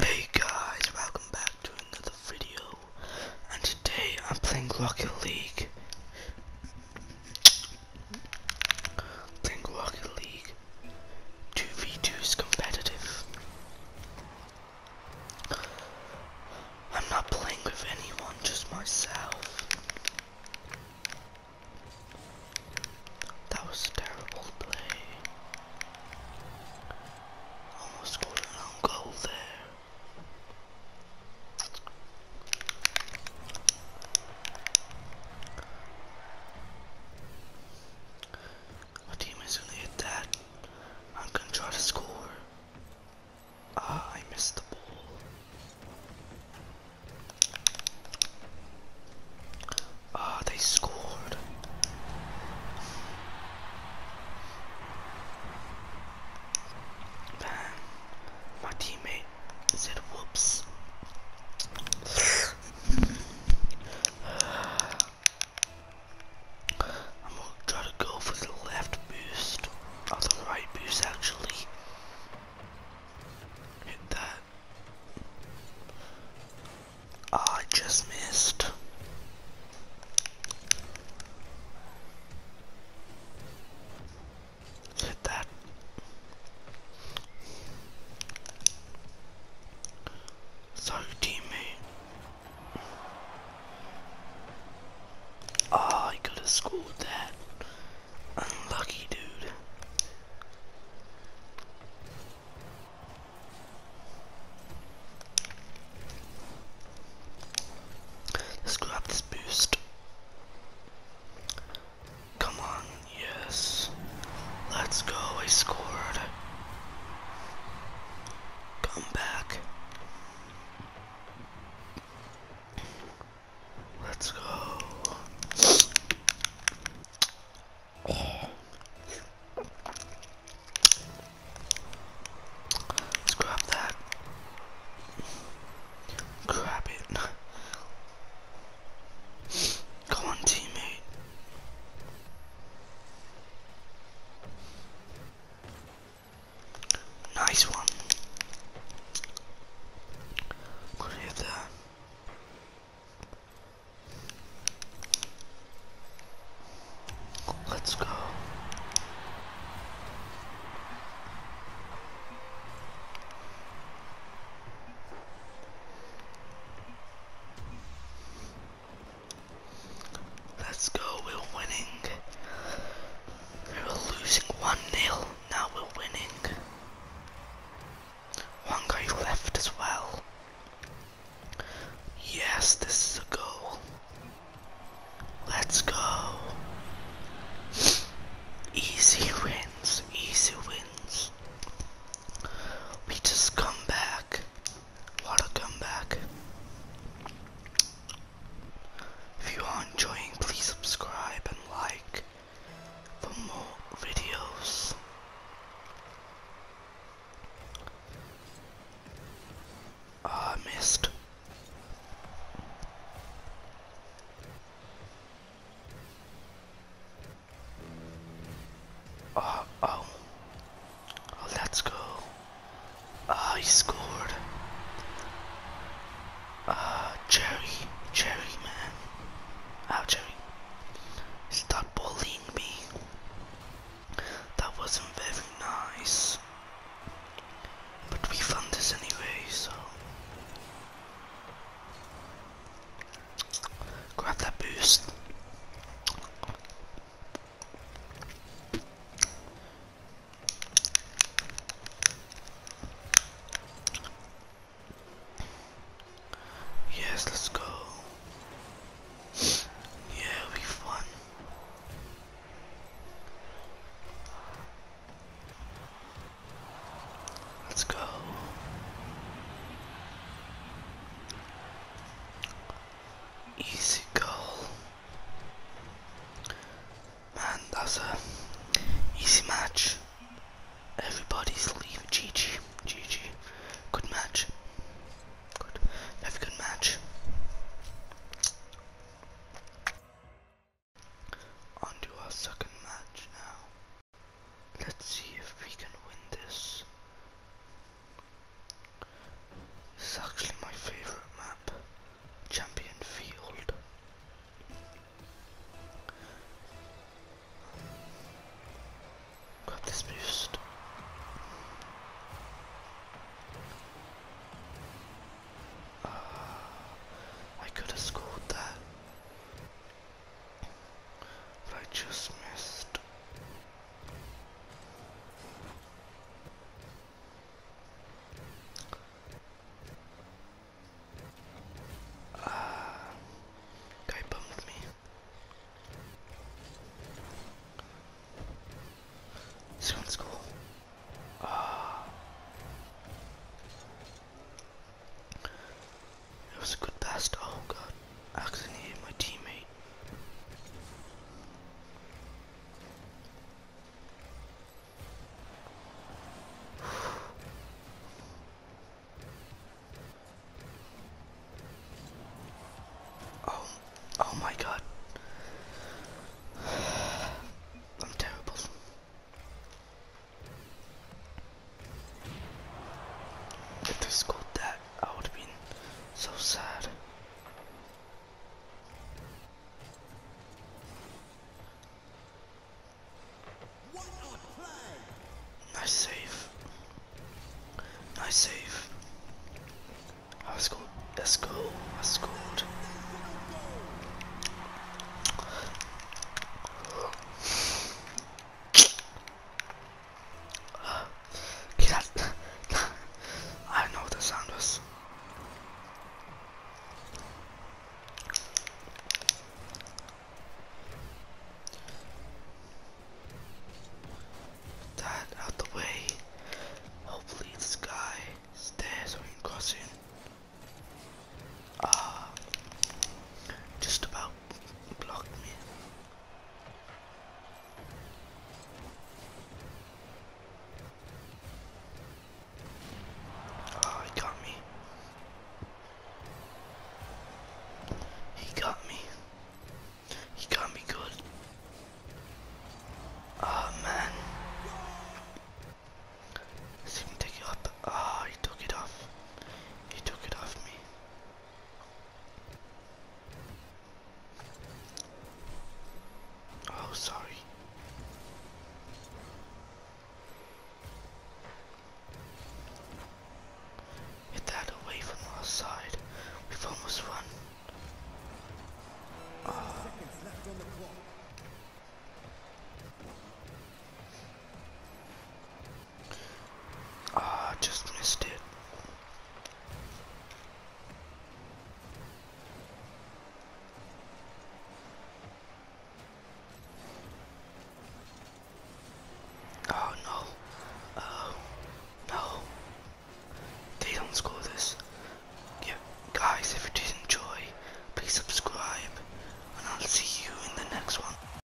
Hey guys, welcome back to another video and today I'm playing Rocket League. Playing Rocket League 2v2 competitive. I'm not playing with anyone, just myself. That was a terrible play. Almost scored an own goal there. My team gonna hit that. I'm gonna try to score. Ah, I missed the ball. Ah, they scored. Man, my teammate said whoops. I'm gonna try to go for the left boost, or oh, the right boost actually. Hit that. I just missed. Hit that. Sorry, teammate. Ah, oh, I could have scored that. Lucky dude. Let's grab this boost. Come on, yes. Let's go, I scored. Come back. Let's go. grab that. Grab it. Come on, teammate. Nice one. Good hit there. Let's go. Let's go, we're winning. We were losing 1-0, now we're winning. One guy left as well. Yes, this is a goal. Let's go. Easy wins, easy wins. We just come back. What a comeback. If you are enjoying, please subscribe and like for more videos. Ah, missed. Uh, oh, let's go. I scored. Ah, uh, Jerry, man. How oh, Stop bullying me. That wasn't very nice. But we found this anyway, so. Grab that boost. Yes, let's go. Yeah, it'll be fun. Let's go. Easy goal. Man, that's a easy match. Everybody's leaving. GG. GG. Good match. Good. Very good match. On to our second match now. Let's see if we can win this. This is actually my favourite map, Champion Field. Grab this boost. Ah, I could have scored that, I just missed. Uh, guy bumped me. This one's Ah. it was a good pass. Oh god. accidentally hit my teammate. Oh, oh my God. I'm terrible. If they scored that, I would have been so sad. Nice save. Nice save. I scored. Let's I scored. I don't know what the sound was. That out the way. Hopefully this guy is there so we can cross in. Uh, just about blocked me. Oh, he got me. He got me. He got me good. Oh man. Let's take it up. oh, he took it off. He took it off me. Oh, sorry. Hit that away from our side. We've almost won. Ah, just missed it. Oh no. Oh no. They don't score this. Yeah, guys, if you did enjoy, please subscribe, and I'll see you in the next one.